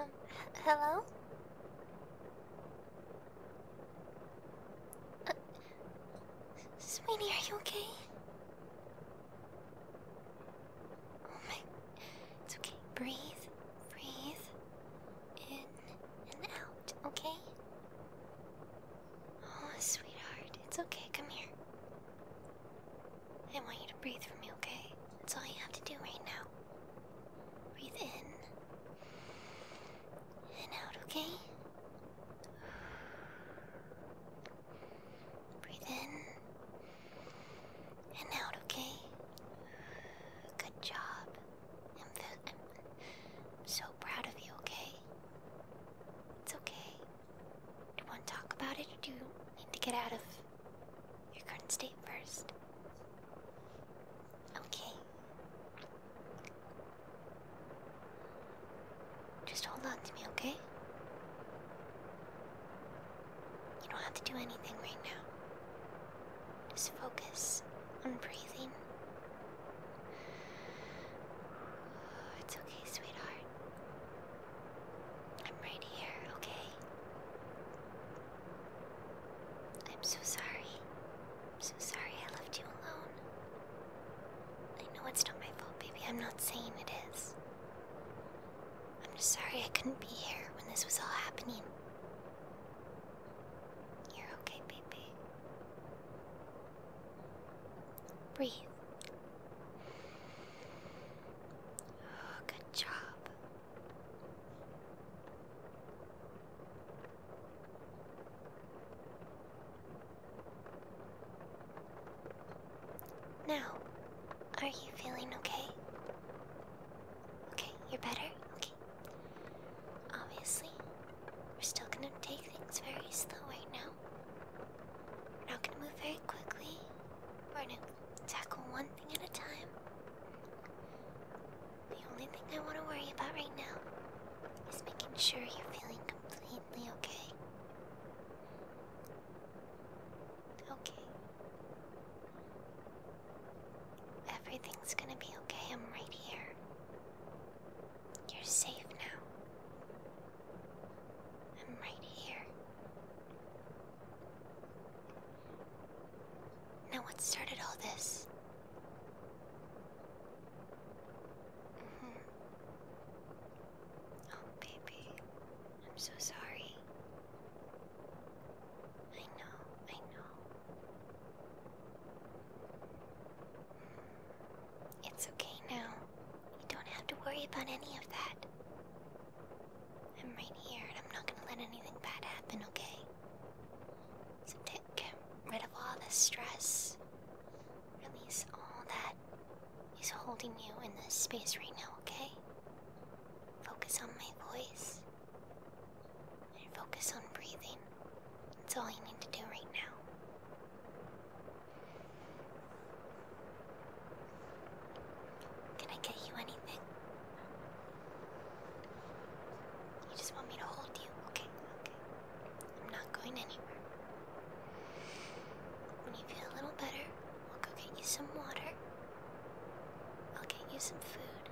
Um, hello? Uh, are you okay? Oh my. It's okay. Breathe. Breathe. In and out, okay? Oh, sweetheart, it's okay. Come here. I want you to breathe for me, okay? That's all you have to do right now. Breathe in and out, okay? Breathe in and out, okay? Good job. I'm, so proud of you, okay? It's okay. Do you want to talk about it, or do you need to get out of your current state first? Okay. Just hold on to me, okay? You don't have to do anything right now. Just focus on breathing. it's okay, sweetheart. I'm right here, okay? I'm so sorry. I'm so sorry I left you alone. I know it's not my fault, baby. I'm not saying it is. I'm just sorry I couldn't be here when this was all happening. You're okay, baby. Breathe. Oh, good job. Now, are you feeling okay? Okay, you're better? Okay. Obviously, we're still gonna take things very slow right now. We're not gonna move very quickly. We're gonna tackle one thing at a time. The only thing I wanna worry about right now is making sure you're feeling completely okay. Okay, Everything's gonna be okay, I'm right here. You're safe now. I'm right here. Now, what started all this? Mm-hmm. Oh, baby. I'm so sorry. I know, I know. It's okay now. You don't have to worry about any of that. I'm right here and I'm not gonna let anything bad happen, okay? So take rid of all this stress. Release all that is holding you in this space right now, okay? Focus on my voice and focus on breathing. That's all you need to do right now. Can I get you anything? You just want me to hold you? Okay, okay. I'm not going anywhere. When you feel a little better, we'll go get you some water. I'll get you some food.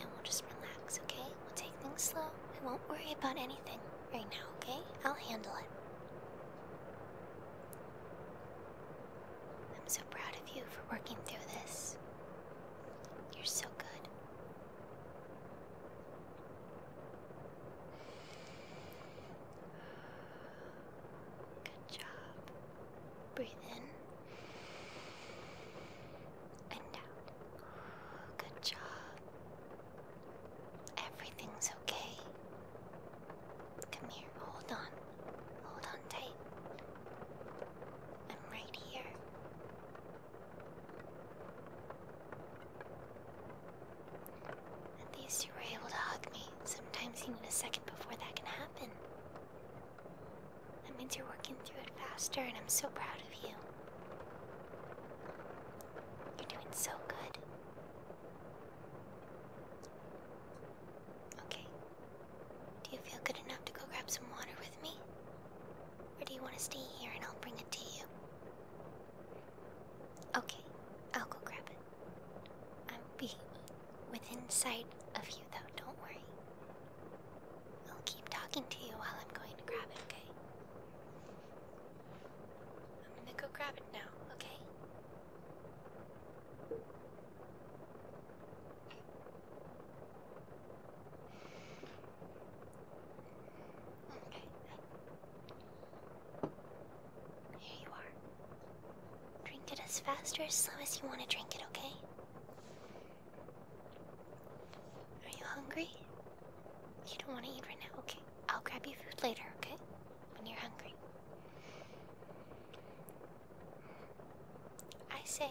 And we'll just relax, okay? We'll take things slow. We won't worry about anything right now, okay? I'll handle it. I'm so proud of you for working through this. You're so good. Good job. Breathe in and out. Good job. Everything's okay. Come here, hold on. Hold on tight. I'm right here. At least you were able to hug me. Sometimes you need a second before that can happen. That means you're working through it faster, and I'm so proud of you. You're doing so good. Okay. Do you feel good enough to go grab some water with me? Or do you want to stay here and I'll bring it to you? Okay, I'll go grab it. I'll be within sight of you though, don't worry. I'll keep talking to you while I'm going to grab it, okay? I'm gonna go grab it now, okay? Okay, here you are. Drink it as fast or as slow as you want to drink it, okay? Are you hungry? You don't want to eat right now, okay? I'll grab you food later, okay? When you're hungry. I say,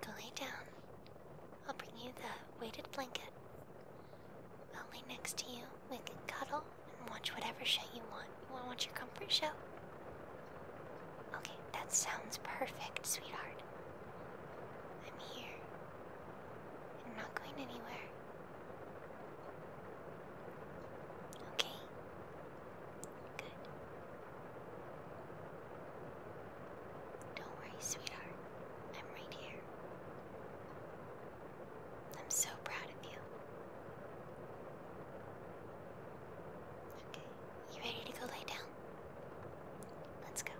go lay down. I'll bring you the weighted blanket. I'll lay next to you, we can cuddle and watch whatever show you want. You want to watch your comfort show? Okay, that sounds perfect, sweetheart. I'm here. I'm not going anywhere. Okay. Good. Don't worry, sweetheart. I'm right here. I'm so proud of you. Okay, you ready to go lay down? Let's go.